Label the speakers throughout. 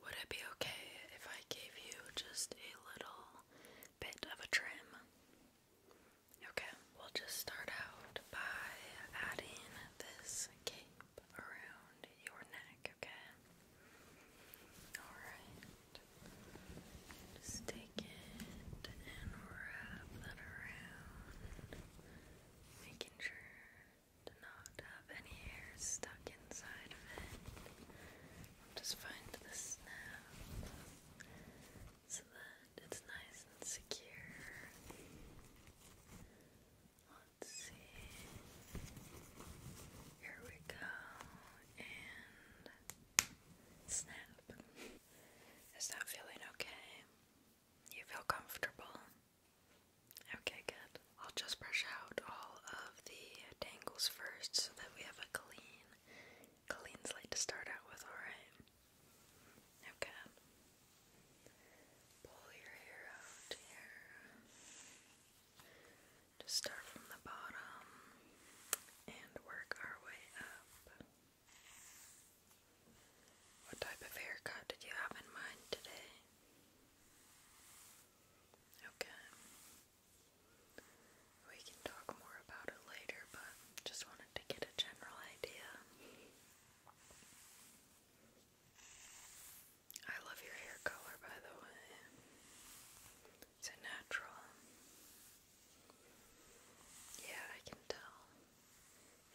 Speaker 1: Would it be okay if I gave you just a little bit of a trim? Okay, we'll just start out by adding this cape around your neck, okay? Alright. Just take it and wrap that around, making sure to not have any hair stuck inside of it. I'll just find the snap so that it's nice and secure. Let's see. Here we go. And snap. Is that feeling okay? You feel comfortable? Okay, good. I'll just brush out all of the tangles first so that we have a clean, clean slate to start out with, alright? Okay. Pull your hair out here. Just start from the bottom and work our way up. What type of haircut did you have in mind today? Okay. We can talk more about it later, but just wanted to get a general idea. I love your hair color, by the way. It's natural. Yeah, I can tell.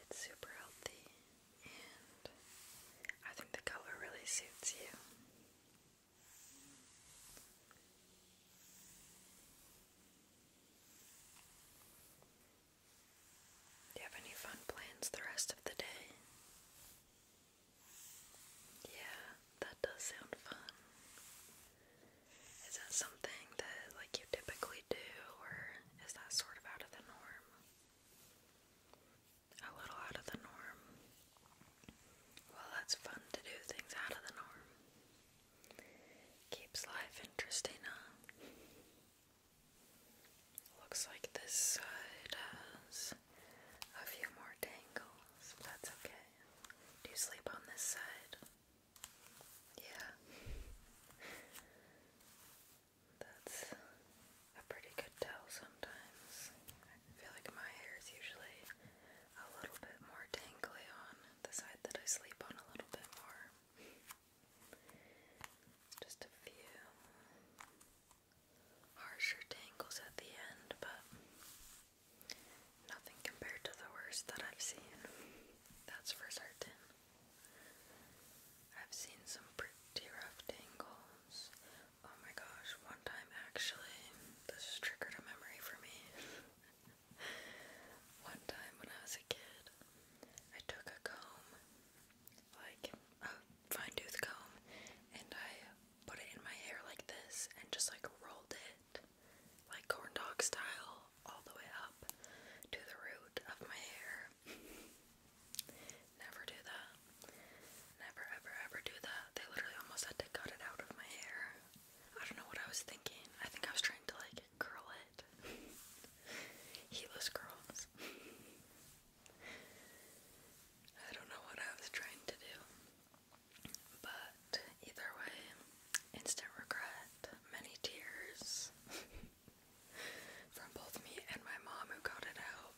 Speaker 1: It's super healthy. I think the color really suits you. Do you have any fun plans the rest of the day? Yeah, that does sound fun. Is that something that like you typically do or is that sort of out of the norm? a little out of the norm. Well, that's fun to do things out of the norm. Keeps life interesting, huh? Looks like this side has a few more tangles, but that's okay. Do you sleep on this side? Yeah. That's a pretty good tell sometimes. I feel like my hair is usually a little bit more tangly on the side that I sleep on a little bit more. Just a few harsher tangles at the end, but nothing compared to the worst that I've seen. That's for certain. I've seen some pretty rough tangles Oh my gosh, one time actually, this triggered a memory for me. one time when I was a kid, I took a comb, like a fine tooth comb, and I put it in my hair like this and just like rolled it, like corn dog style, all the way up to the root of my hair never. do that. Never ever ever do that. They literally almost had to cut it out of my hair. I don't know what I was thinking. I think I was trying to like curl it. Heelless curls. I don't know what I was trying to do. But either way, instant regret, many tears from both me and my mom who got it out.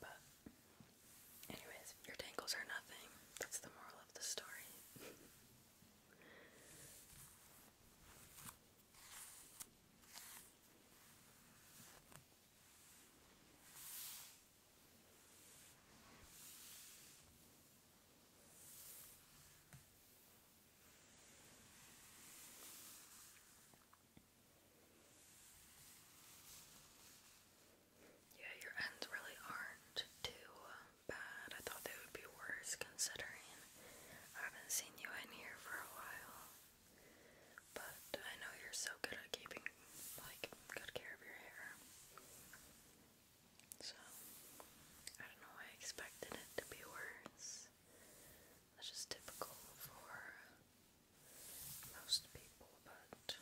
Speaker 1: But, anyways, your tangles are nothing. That's the moral of the story. Yeah, your ends really aren't too bad. I thought they would be worse considering I haven't seen you in here for a while. But I know you're so good at keeping like good care of your hair. So I don't know, I expected it to be worse. That's just typical for most people, but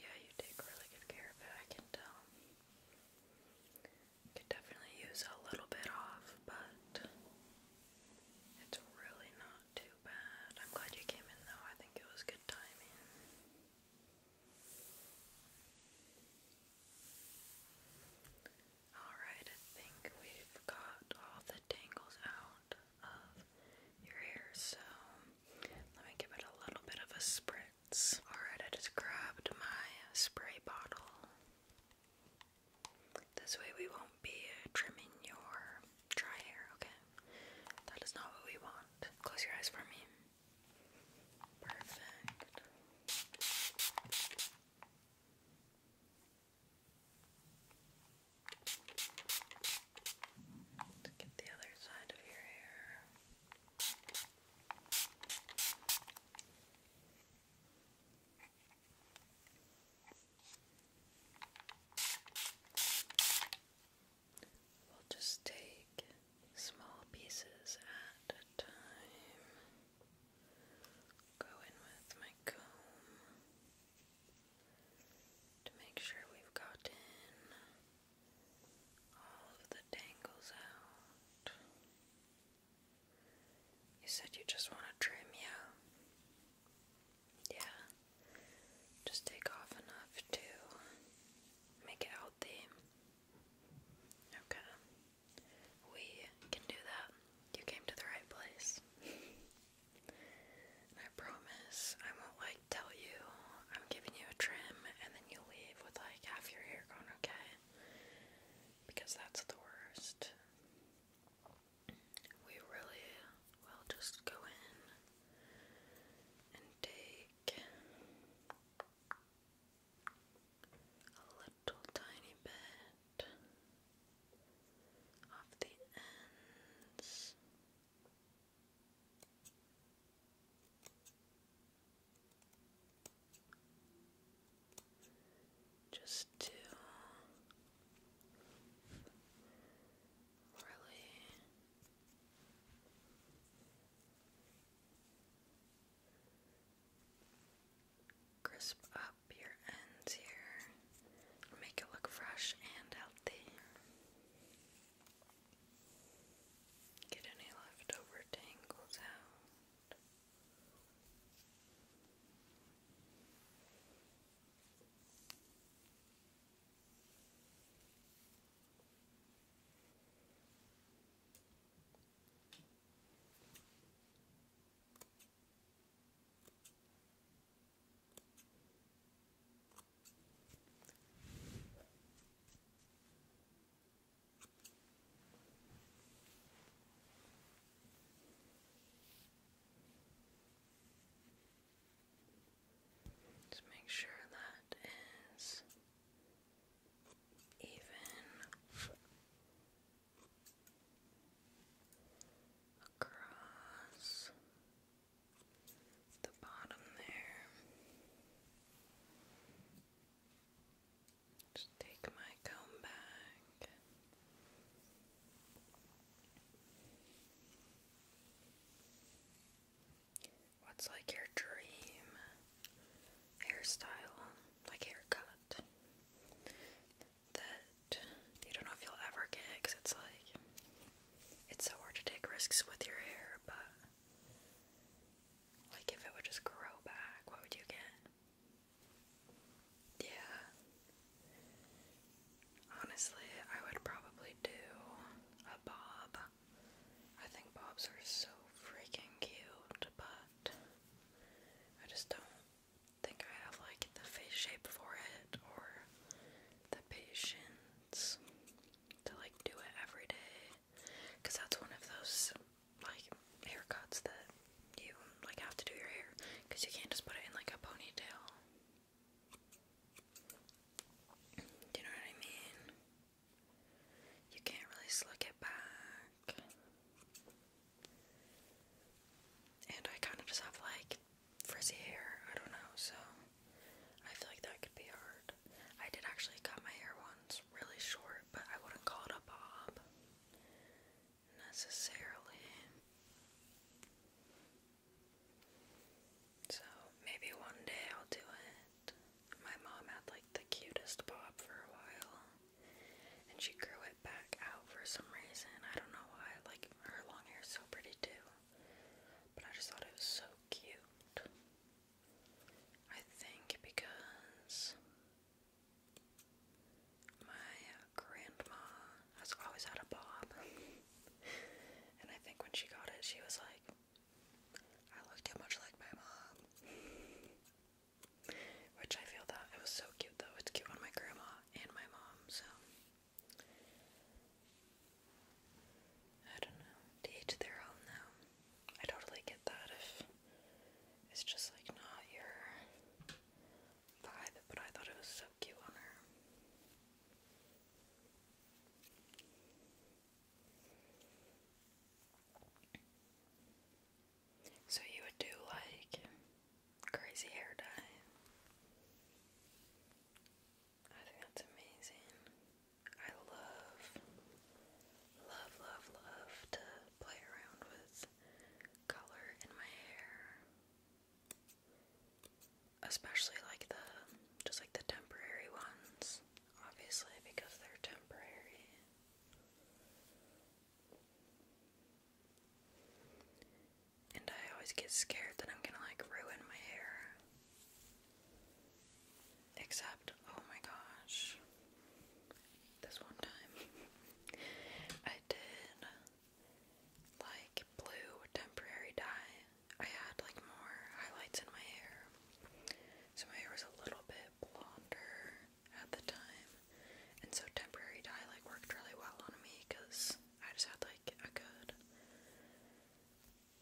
Speaker 1: yeah, you take really good care of it, I can tell. Could definitely use a little bit off, but it's really not too bad. I'm glad you came in though, I think it was good timing. Alright, I think we've got all the tangles out of your hair, so let me give it a little bit of a spritz. Alright, I just grabbed my spray bottle. This way we won't be trimming your dry hair, okay? That is not what we want. Close your eyes for me. Perfect. let get the other side of your hair. We'll just take small pieces at a time. Go in with my comb to make sure we've gotten all of the tangles out. You said you just want to trim, yeah? Yeah. Just take off enough to make it healthy. Okay. We can do that. You came to the right place. I promise I won't like tell you I'm giving you a trim and then you leave with like half your hair gone, okay? Because that's the worst. We really will just go in and take a little tiny bit of the ends. Just to really Crisp up your ends here. Make it look fresh and healthy. Get any leftover tangles out. Just make sure that is even across the bottom there. Just take my comb back. What's like your dream hairstyle, like haircut, that you don't know if you'll ever get? Because it's like, it's so hard to take risks with your hair, but like if it would just grow back, what would you get? Yeah. Honestly, I would probably do a bob. I think bobs are so freaking cute, but I just don't think I have like the face shape for it or the patience to like do it every day. Cause that's one of those like haircuts that you like have to do your hair because you can't just put it in like a ponytail. you know what I mean? You can't really slick it back. And I kind of just have like frizzy hair, I don't know, so I feel like that could be hard. I did actually cut my hair once really short, but I wouldn't call it a bob necessarily. So maybe one day I'll do it. My mom had like the cutest bob for a while, and she grew it back out for some reason. I don't know why. Like her long hair so pretty too, but I just thought it was so cute. I think because my uh, grandma has always had a bob, and I think when she got it, she was like, I look too much like my mom. Which I feel that it was so cute though. It's cute on my grandma and my mom, so I don't know. To each their own I totally get that if it's just like not your vibe, but I thought it was so cute on her. So you would do like crazy hair dye. I think that's amazing. I love, love, love, love to play around with color in my hair. Especially like the, just like the temporary ones obviously, because they're temporary. And I always get scared that I'm gonna like ruin my hair. Except, oh my gosh, this one time I did like blue temporary dye. I had like more highlights in my hair. So my hair was a little bit blonder at the time, and so temporary dye like worked really well on me because I just had like a good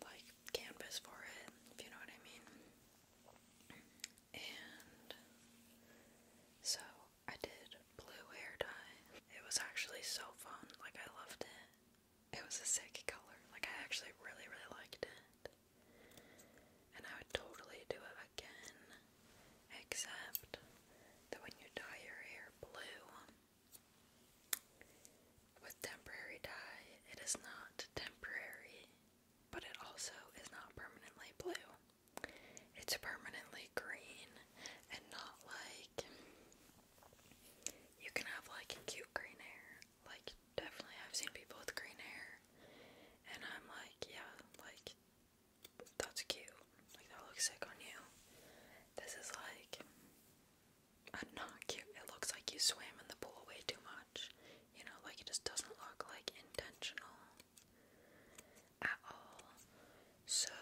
Speaker 1: like canvas for it, if you know what I mean. And so I did blue hair dye. It was actually so fun. Like I loved it. It was a sick color. Like, I actually really, really liked it. And I would totally do it again. Except that when you dye your hair blue um, with temporary dye, it is not temporary, but it also is not permanently blue. It's permanently green and not like. You can have like cute green hair like, definitely, I've seen people with green hair, and I'm like, yeah, like, that's cute. Like, that looks sick on you. This is like, I'm uh, not cute. It looks like you swam in the pool way too much. You know, like, it just doesn't look like intentional at all. So,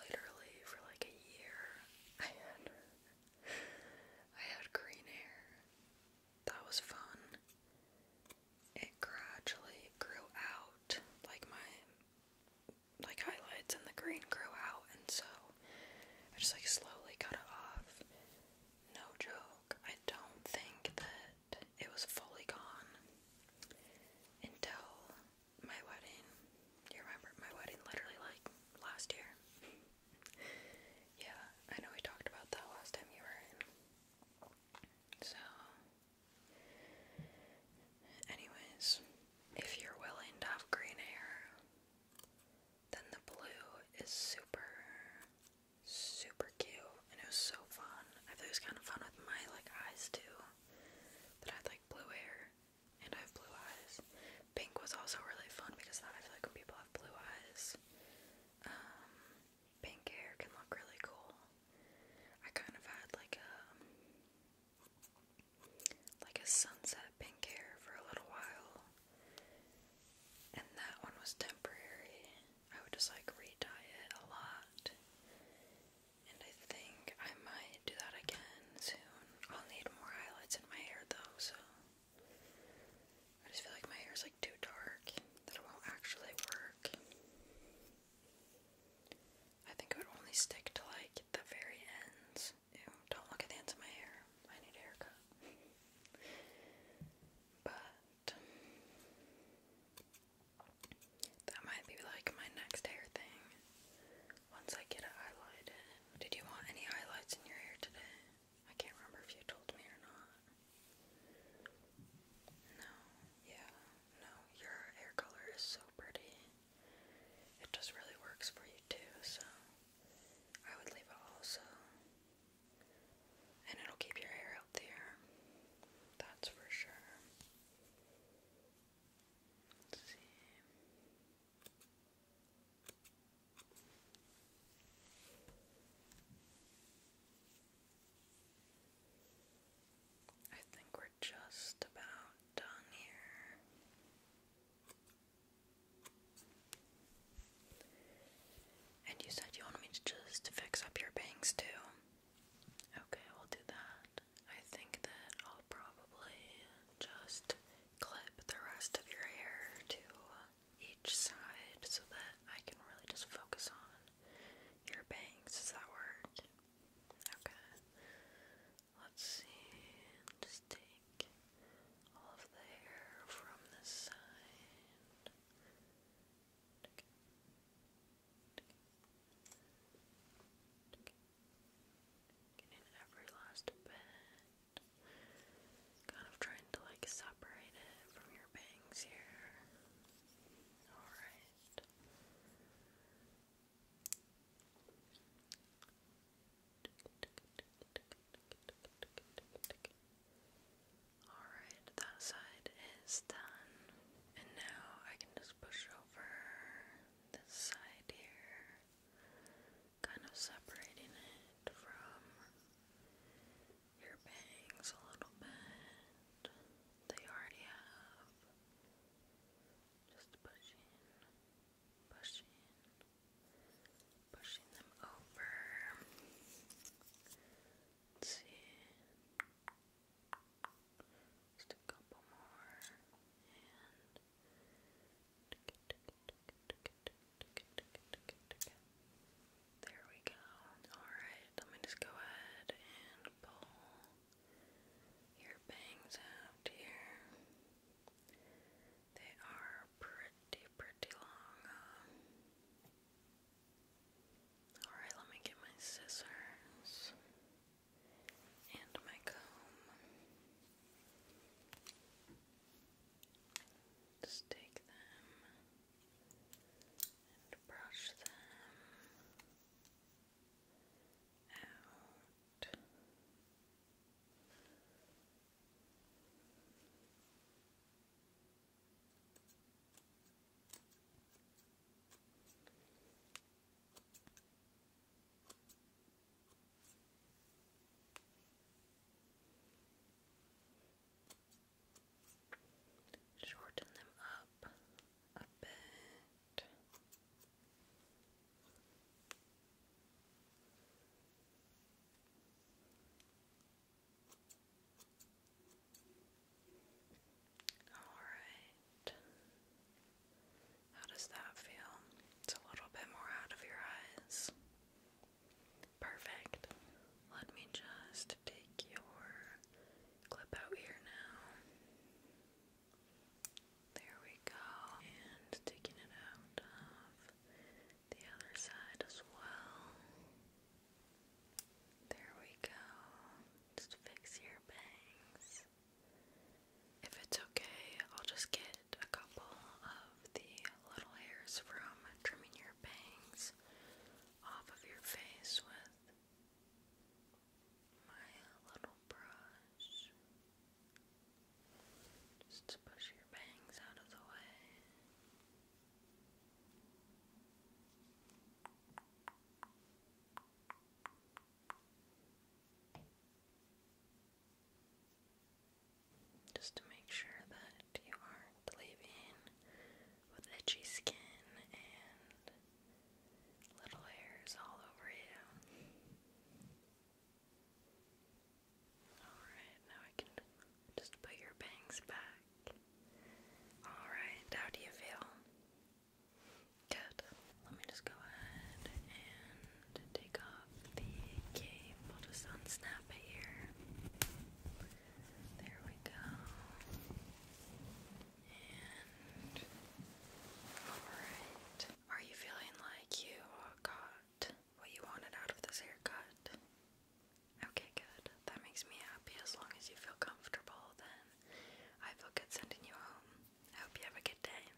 Speaker 1: literally, for like a year, I I had green hair. That was fun. It gradually grew out, like my like highlights and the green grew out and so I just like slowly cut it off. No joke. I don't think that it was fully gone until my wedding. You remember my wedding literally like last year. Yeah, I know we talked about that last time you were in. So, anyways, if you're willing to have green hair, then the blue is super, super cute, and it was so fun. I thought it was kind of fun with my like eyes too, but I had like blue hair and I have blue eyes, Pink was also really fun because that I feel like when people have blue eyes, um, pink hair can look really cool. I kind of had like a like a sunset pink hair for a little while, and that one was temporary. I would just like re-dye it a lot, and I think I might do that again soon. I'll need more highlights in my hair though, so I just feel like my hair is like too dark that it won't actually work. I think it would only stick to like the very ends. don't look at the ends of my hair. I need a haircut. but that might be like my next hair thing. Once I get it highlighted. Did you want any highlights in your hair today? I can't remember if you told me or not. No, yeah, no, your hair color is so pretty. It just really works for you too, so I would leave it also. And it'll keep your hair healthier. That's for sure. see. I think we're just about done here. And you said you wanted me to just fix up your bangs too. Okay, we'll do that. I think that I'll probably just clip the rest of your hair to each side so that I can really just focus on your bangs. Does that work? Okay. Let's see. Just take all of the hair from this side. Getting every last bit. Kind of trying to like separate it from your bangs here. Alright. Alright, that side is done. And now I can just push over this side here kind of separating it from your bangs a little bit. They already have. Just pushing, pushing, pushing them over. see. Just a couple more. And there we go. Alright, let me just go ahead and pull your bangs out here. They are pretty, pretty long. Um. Alright, let me get my scissors and my comb. Just take them and brush them out. Shorten them up a bit. All right. How does that feel? It's a little bit more out of your eyes. Perfect. Let me just take your clip out here now. There we go. And taking it out of the other side as well. There we go. Just fix your bangs. If it's okay, I'll just get a couple of the little hairs from trimming your bangs off of your face with my little brush. Just to push your bangs out of the way. Just to make sure that you aren't leaving with itchy skin and little hairs all over you. Alright, now I can just put your bangs back. Alright, how do you feel? Good. Let me just go ahead and to take off the cape. just unsnap it here. There we go. And alright. Are you feeling like you got what you wanted out of this haircut? Okay, good. That makes me happy as long as you feel comfortable then. I feel good sending you home. I hope you have a good day.